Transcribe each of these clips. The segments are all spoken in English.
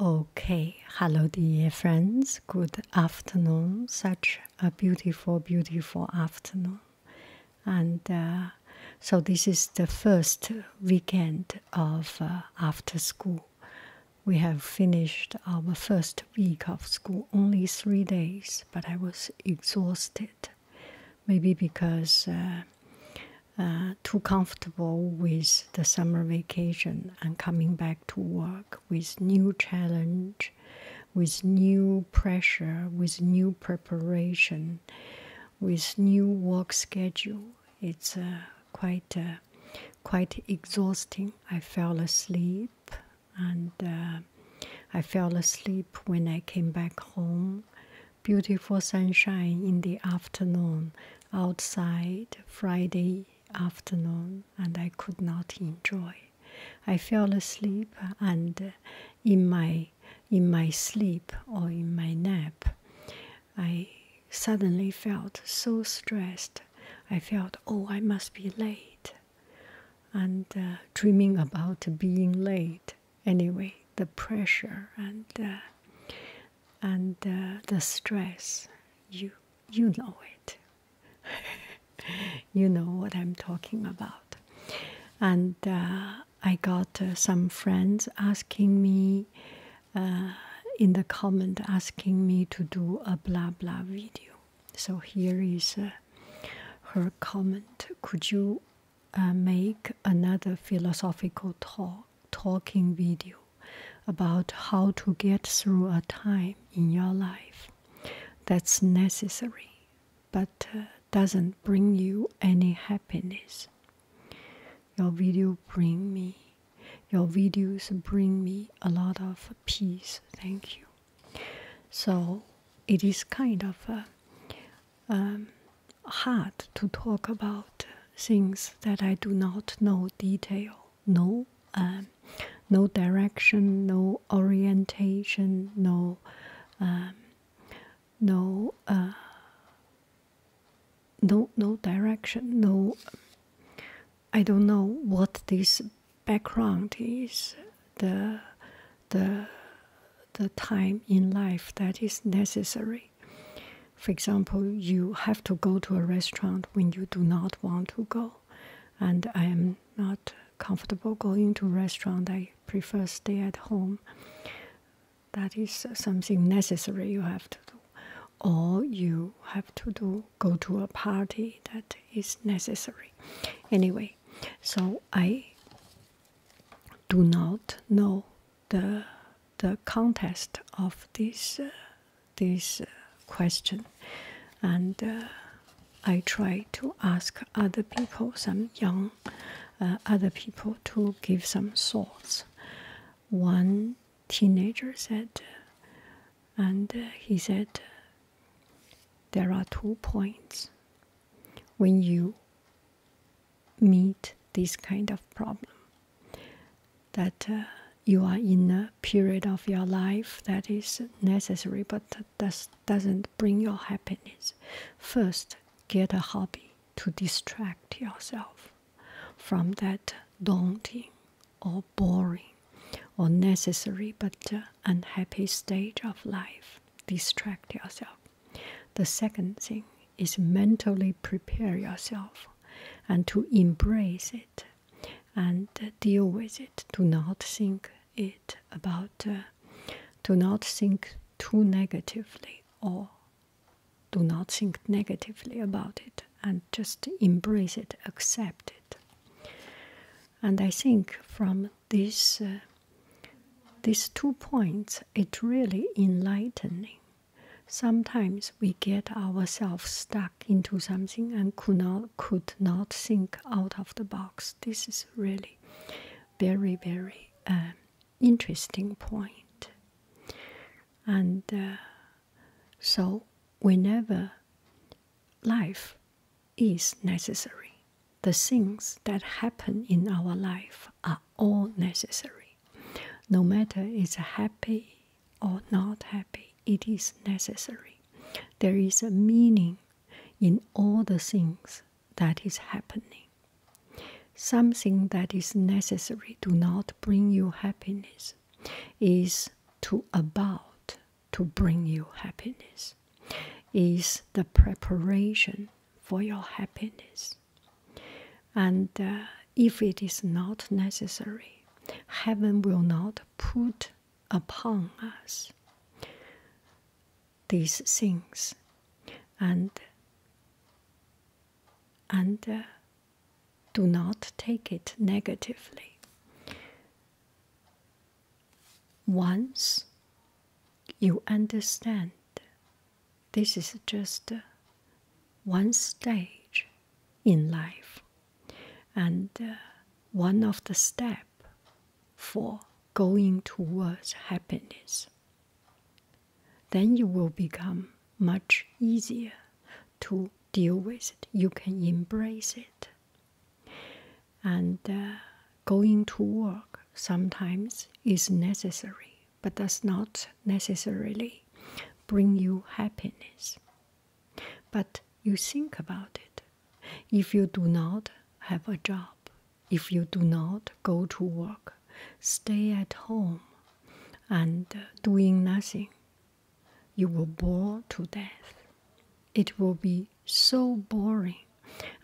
Okay, hello, dear friends. Good afternoon. Such a beautiful, beautiful afternoon. And uh, so, this is the first weekend of uh, after school. We have finished our first week of school, only three days, but I was exhausted. Maybe because uh, too comfortable with the summer vacation and coming back to work with new challenge, with new pressure, with new preparation, with new work schedule. It's uh, quite uh, quite exhausting. I fell asleep and uh, I fell asleep when I came back home. Beautiful sunshine in the afternoon outside Friday afternoon and I could not enjoy. I fell asleep and uh, in my in my sleep or in my nap I suddenly felt so stressed. I felt oh I must be late and uh, dreaming about being late anyway the pressure and uh, and uh, the stress you you know it you know what i'm talking about and uh, i got uh, some friends asking me in the comment asking me to do a blah blah video so here is her comment could you make another philosophical talk talking video about how to get through a time in your life that's necessary but uh, doesn't bring you any happiness. Your video bring me your videos bring me a lot of peace. Thank you. So it is kind of uh, um, hard to talk about things that I do not know detail no um, no direction, no orientation, no um, no uh, no no direction, no. I don't know what this background is. The the the time in life that is necessary for example, you have to go to a restaurant when you do not want to go, and I am not comfortable going to a restaurant. I prefer stay at home. That is something necessary you have to do, or you have to do go to a party that is necessary. Anyway, so I do not know the the context of this uh, this uh, question, and uh, I try to ask other people, some young other people, to give some thoughts. One teenager said, and he said, there are two points when you meet this kind of problem that uh, you are in a period of your life that is necessary but does, doesn't bring your happiness. First, get a hobby to distract yourself from that daunting or boring or necessary but uh, unhappy stage of life. Distract yourself. The second thing is mentally prepare yourself and to embrace it and deal with it. Do not think it about, uh, do not think too negatively or do not think negatively about it and just embrace it, accept it. And I think from this, uh, these two points, it really enlightening Sometimes we get ourselves stuck into something and could not, could not think out of the box. This is really very, very um, interesting point. And uh, so, whenever life is necessary, the things that happen in our life are all necessary. No matter it's happy, or not happy, it is necessary. There is a meaning in all the things that is happening. Something that is necessary to not bring you happiness is to about to bring you happiness, is the preparation for your happiness and uh, if it is not necessary, heaven will not put upon us these things, and and uh, do not take it negatively. Once you understand, this is just uh, one stage in life and uh, one of the step for going towards happiness then you will become much easier to deal with it you can embrace it and uh, going to work sometimes is necessary but does not necessarily bring you happiness but you think about it. If you do not have a job, if you do not go to work, stay at home and doing nothing, you will bore to death. It will be so boring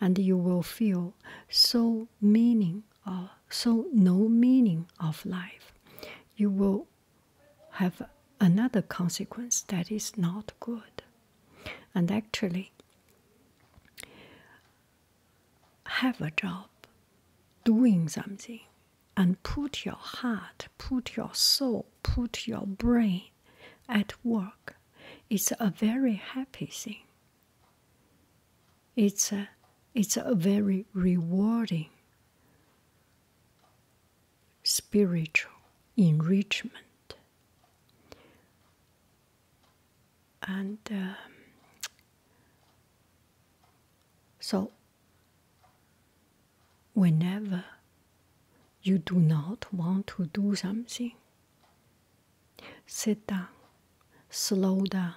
and you will feel so meaning or uh, so no meaning of life. You will have another consequence that is not good. And actually, have a job, doing something, and put your heart, put your soul, put your brain at work. It's a very happy thing. It's a, it's a very rewarding spiritual enrichment. And um, so, whenever you do not want to do something, sit down, slow down.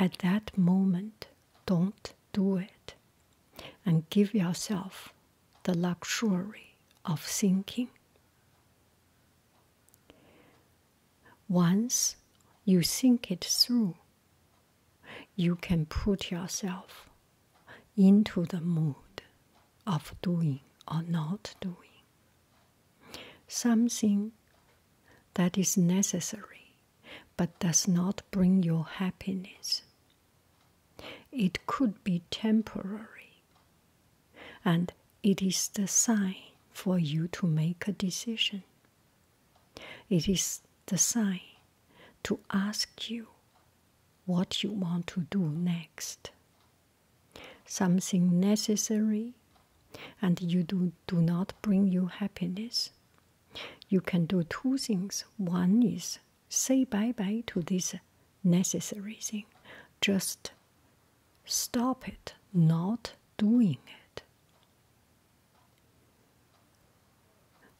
At that moment, don't do it and give yourself the luxury of thinking. Once you think it through, you can put yourself into the mood of doing or not doing something that is necessary but does not bring you happiness. It could be temporary, and it is the sign for you to make a decision. It is the sign to ask you what you want to do next. Something necessary and you do, do not bring you happiness you can do two things. One is say bye bye to this necessary thing, just stop it, not doing it.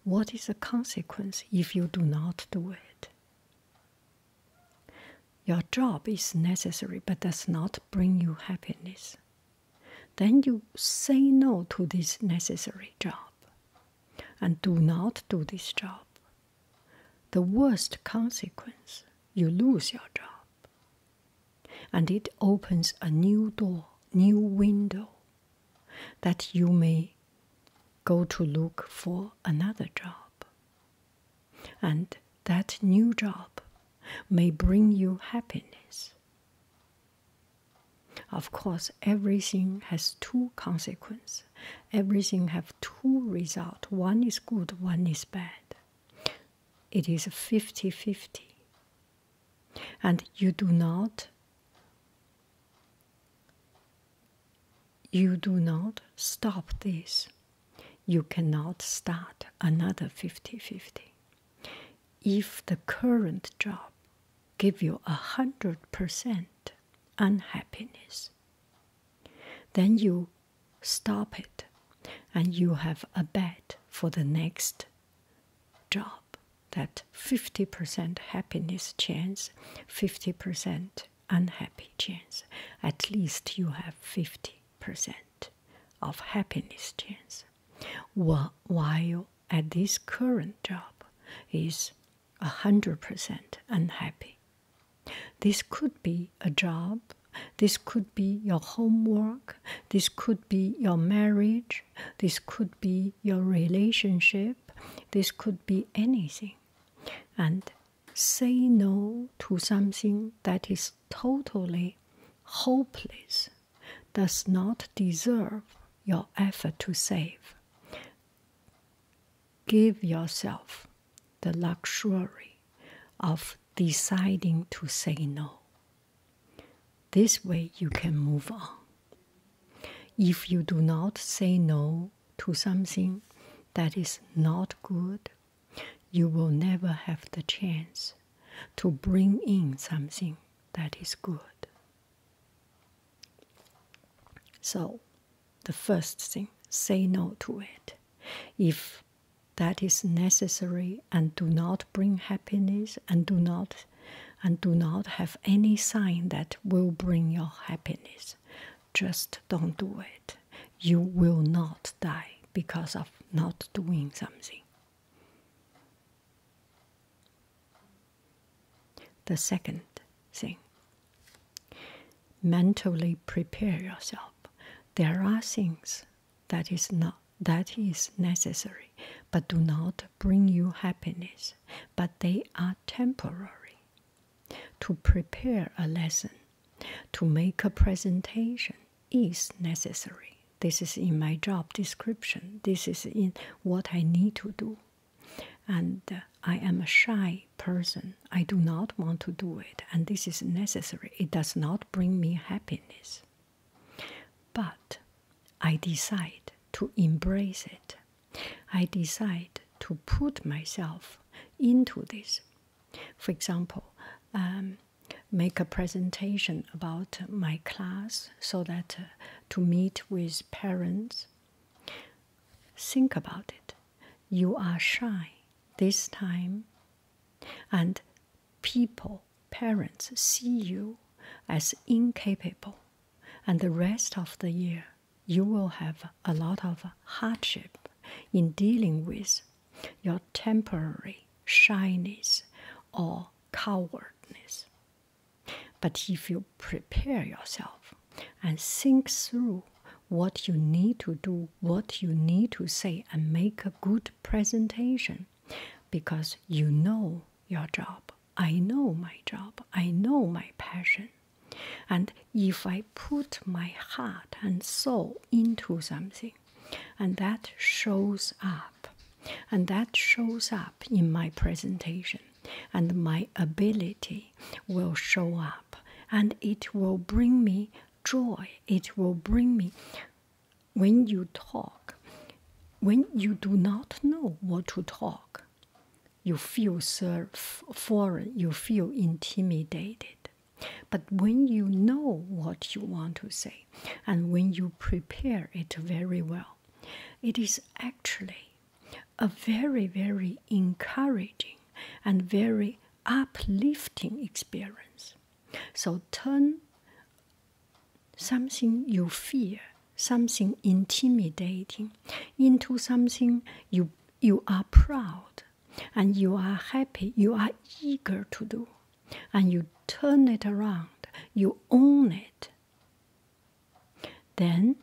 What is the consequence if you do not do it? Your job is necessary but does not bring you happiness then you say no to this necessary job and do not do this job. The worst consequence you lose your job. And it opens a new door, new window that you may go to look for another job. And that new job may bring you happiness. Of course, everything has two consequences. Everything have two results. One is good, one is bad. It is 50-50. And you do not you do not stop this. You cannot start another 50-50 if the current job give you a hundred percent unhappiness, then you stop it and you have a bet for the next job that 50% happiness chance 50% unhappy chance at least you have 50% of happiness chance while at this current job is 100% unhappy. This could be a job, this could be your homework, this could be your marriage, this could be your relationship, this could be anything. And say no to something that is totally hopeless does not deserve your effort to save. Give yourself the luxury of deciding to say no. This way you can move on. If you do not say no to something that is not good, you will never have the chance to bring in something that is good. So, the first thing, say no to it. If that is necessary and do not bring happiness and do not and do not have any sign that will bring your happiness. Just don't do it. You will not die because of not doing something. The second thing mentally prepare yourself. There are things that is not that is necessary but do not bring you happiness, but they are temporary. To prepare a lesson, to make a presentation is necessary. This is in my job description. This is in what I need to do and uh, I am a shy person. I do not want to do it, and this is necessary. It does not bring me happiness. But I decide to embrace it. I decide to put myself into this. For example, um, make a presentation about my class so that uh, to meet with parents. Think about it. You are shy this time, and people, parents, see you as incapable, and the rest of the year you will have a lot of hardship in dealing with your temporary shyness or cowardness. But if you prepare yourself and think through what you need to do, what you need to say, and make a good presentation because you know your job, I know my job, I know my passion. And if I put my heart and soul into something, and that shows up, and that shows up in my presentation, and my ability will show up and it will bring me joy. It will bring me. When you talk, when you do not know what to talk, you feel so foreign, you feel intimidated. But when you know what you want to say and when you prepare it very well, it is actually a very, very encouraging and very uplifting experience. So turn something you fear, something intimidating, into something you you are proud and you are happy, you are eager to do, and you turn it around, you own it. Then,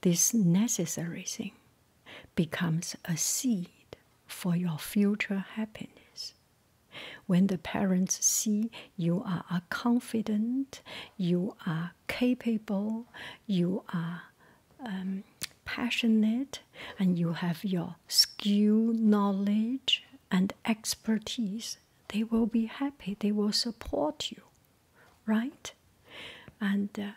this necessary thing becomes a seed for your future happiness. When the parents see you are confident, you are capable, you are um, passionate, and you have your skill, knowledge, and expertise, they will be happy, they will support you, right? And uh,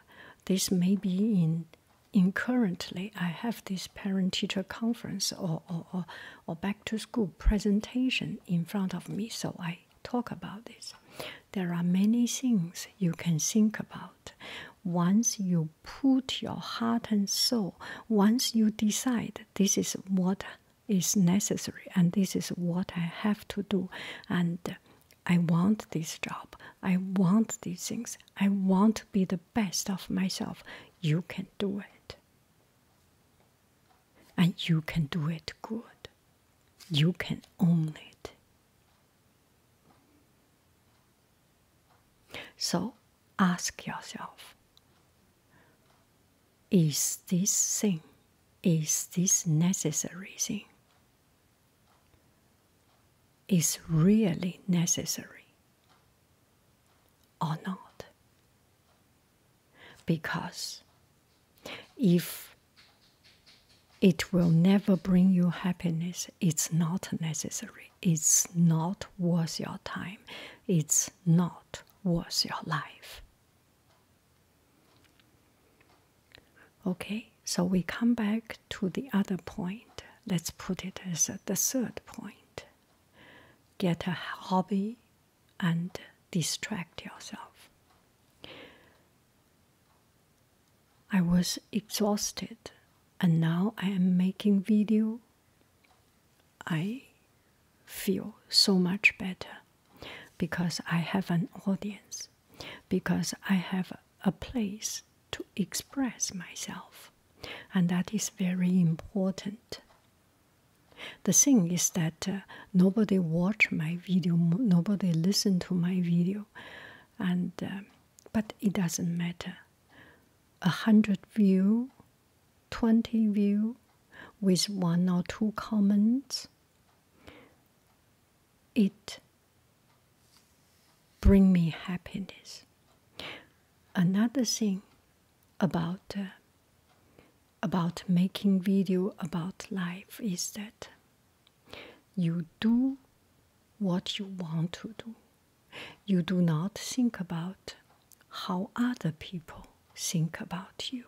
this may be in, in currently, I have this parent teacher conference or, or, or back to school presentation in front of me, so I talk about this. There are many things you can think about. Once you put your heart and soul once you decide this is what is necessary and this is what I have to do, and I want this job, I want these things, I want to be the best of myself, you can do it. And you can do it good, you can own it. So, ask yourself is this thing is this necessary thing is really necessary or not because if it will never bring you happiness it's not necessary it's not worth your time it's not was your life. Okay, so we come back to the other point. Let's put it as the third point. Get a hobby and distract yourself. I was exhausted and now I am making video I feel so much better because I have an audience, because I have a place to express myself, and that is very important. The thing is that uh, nobody watch my video, nobody listen to my video, and uh, but it doesn't matter. A hundred view 20 views with one or two comments, it bring me happiness. Another thing about uh, about making video about life is that you do what you want to do. You do not think about how other people think about you.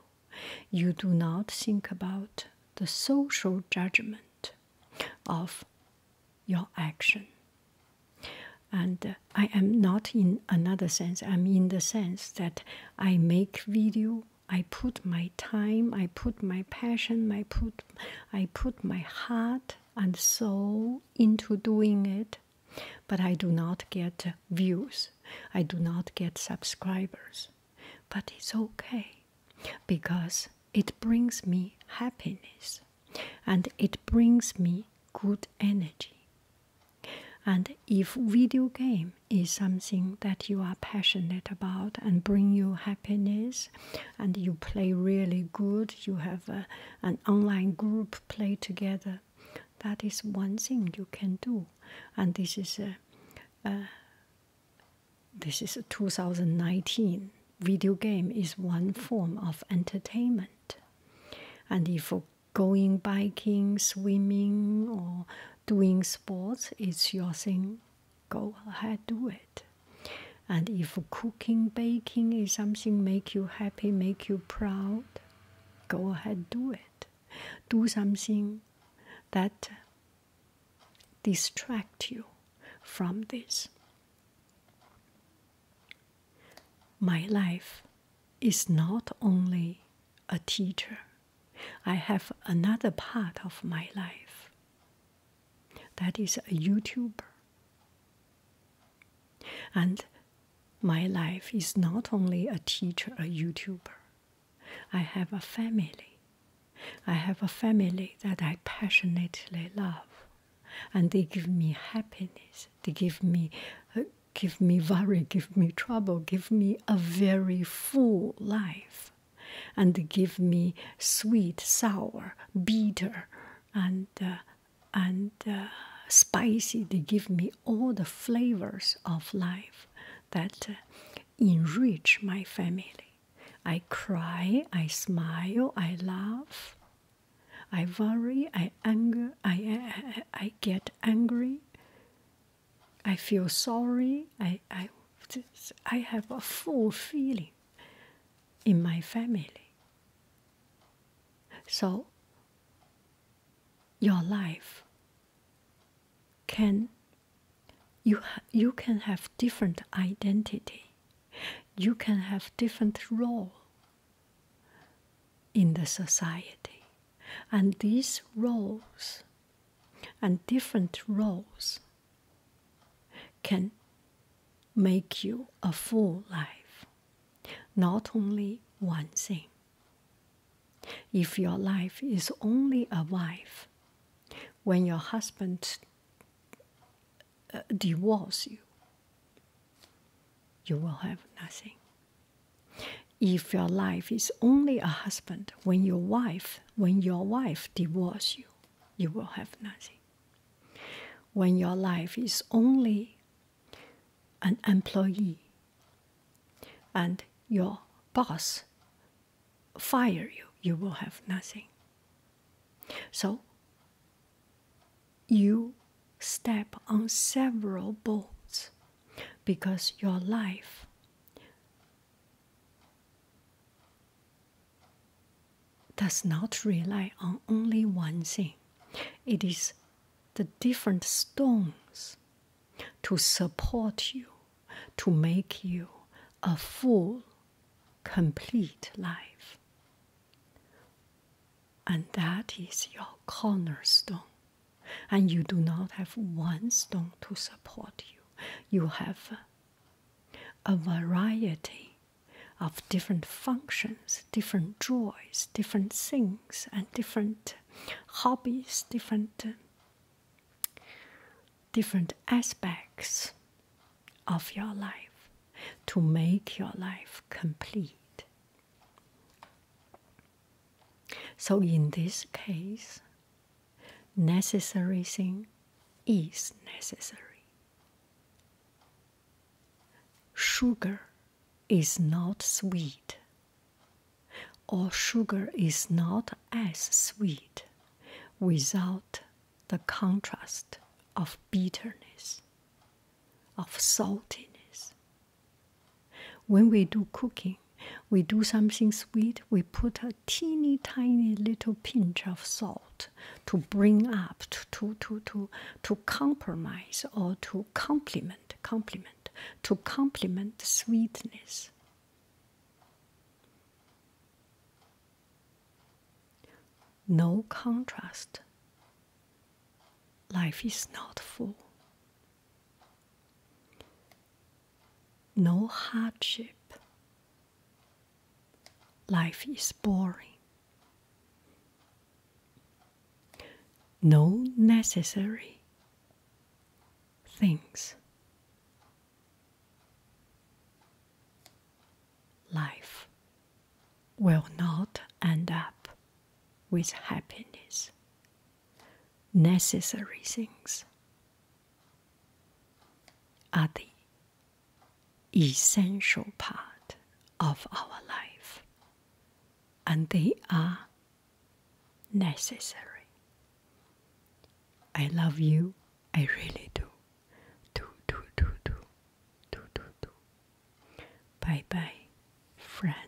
You do not think about the social judgment of your action. And uh, I am not in another sense, I'm in the sense that I make video. I put my time, I put my passion, I put, I put my heart and soul into doing it. But I do not get views, I do not get subscribers. But it's okay because it brings me happiness and it brings me good energy. And if video game is something that you are passionate about and bring you happiness and you play really good, you have an online group play together that is one thing you can do, and this is a this is a 2019 video game is one form of entertainment, and if going biking, swimming, or doing sports is your thing, go ahead do it. And if cooking, baking is something make you happy, make you proud, go ahead, do it. Do something that distract you from this. My life is not only a teacher. I have another part of my life that is a YouTuber. And my life is not only a teacher, a YouTuber, I have a family. I have a family that I passionately love, and they give me happiness. They give me, uh, give me worry, give me trouble, give me a very full life, and give me sweet, sour, bitter, and uh, and uh, spicy they give me all the flavors of life that uh, enrich my family i cry i smile i laugh i worry i anger i i, I get angry i feel sorry i i I have a full feeling in my family so, your life can you you can have different identity, you can have different role in the society, and these roles and different roles can make you a full life not only one thing. If your life is only a wife, when your husband uh, divorces you, you will have nothing. If your life is only a husband, when your wife, when your wife divorces you, you will have nothing. When your life is only an employee and your boss fire you, you will have nothing. So you step on several boats because your life does not rely on only one thing. It is the different stones to support you, to make you a full, complete life. And that is your cornerstone. And you do not have one stone to support you. You have a variety of different functions, different joys, different things, and different hobbies, different different aspects of your life to make your life complete. So in this case, necessary thing is necessary. Sugar is not sweet, or sugar is not as sweet without the contrast of bitterness, of saltiness. When we do cooking, we do something sweet, we put a teeny tiny little pinch of salt to bring up, to, to, to, to, compromise or to complement complement, to complement sweetness. No contrast. Life is not full. No hardship. Life is boring no necessary things. Life will not end up with happiness. Necessary things are the essential part of our life, and they are necessary. I love you, I really do. Do, do, do, do, do, do, do. Bye bye, friends.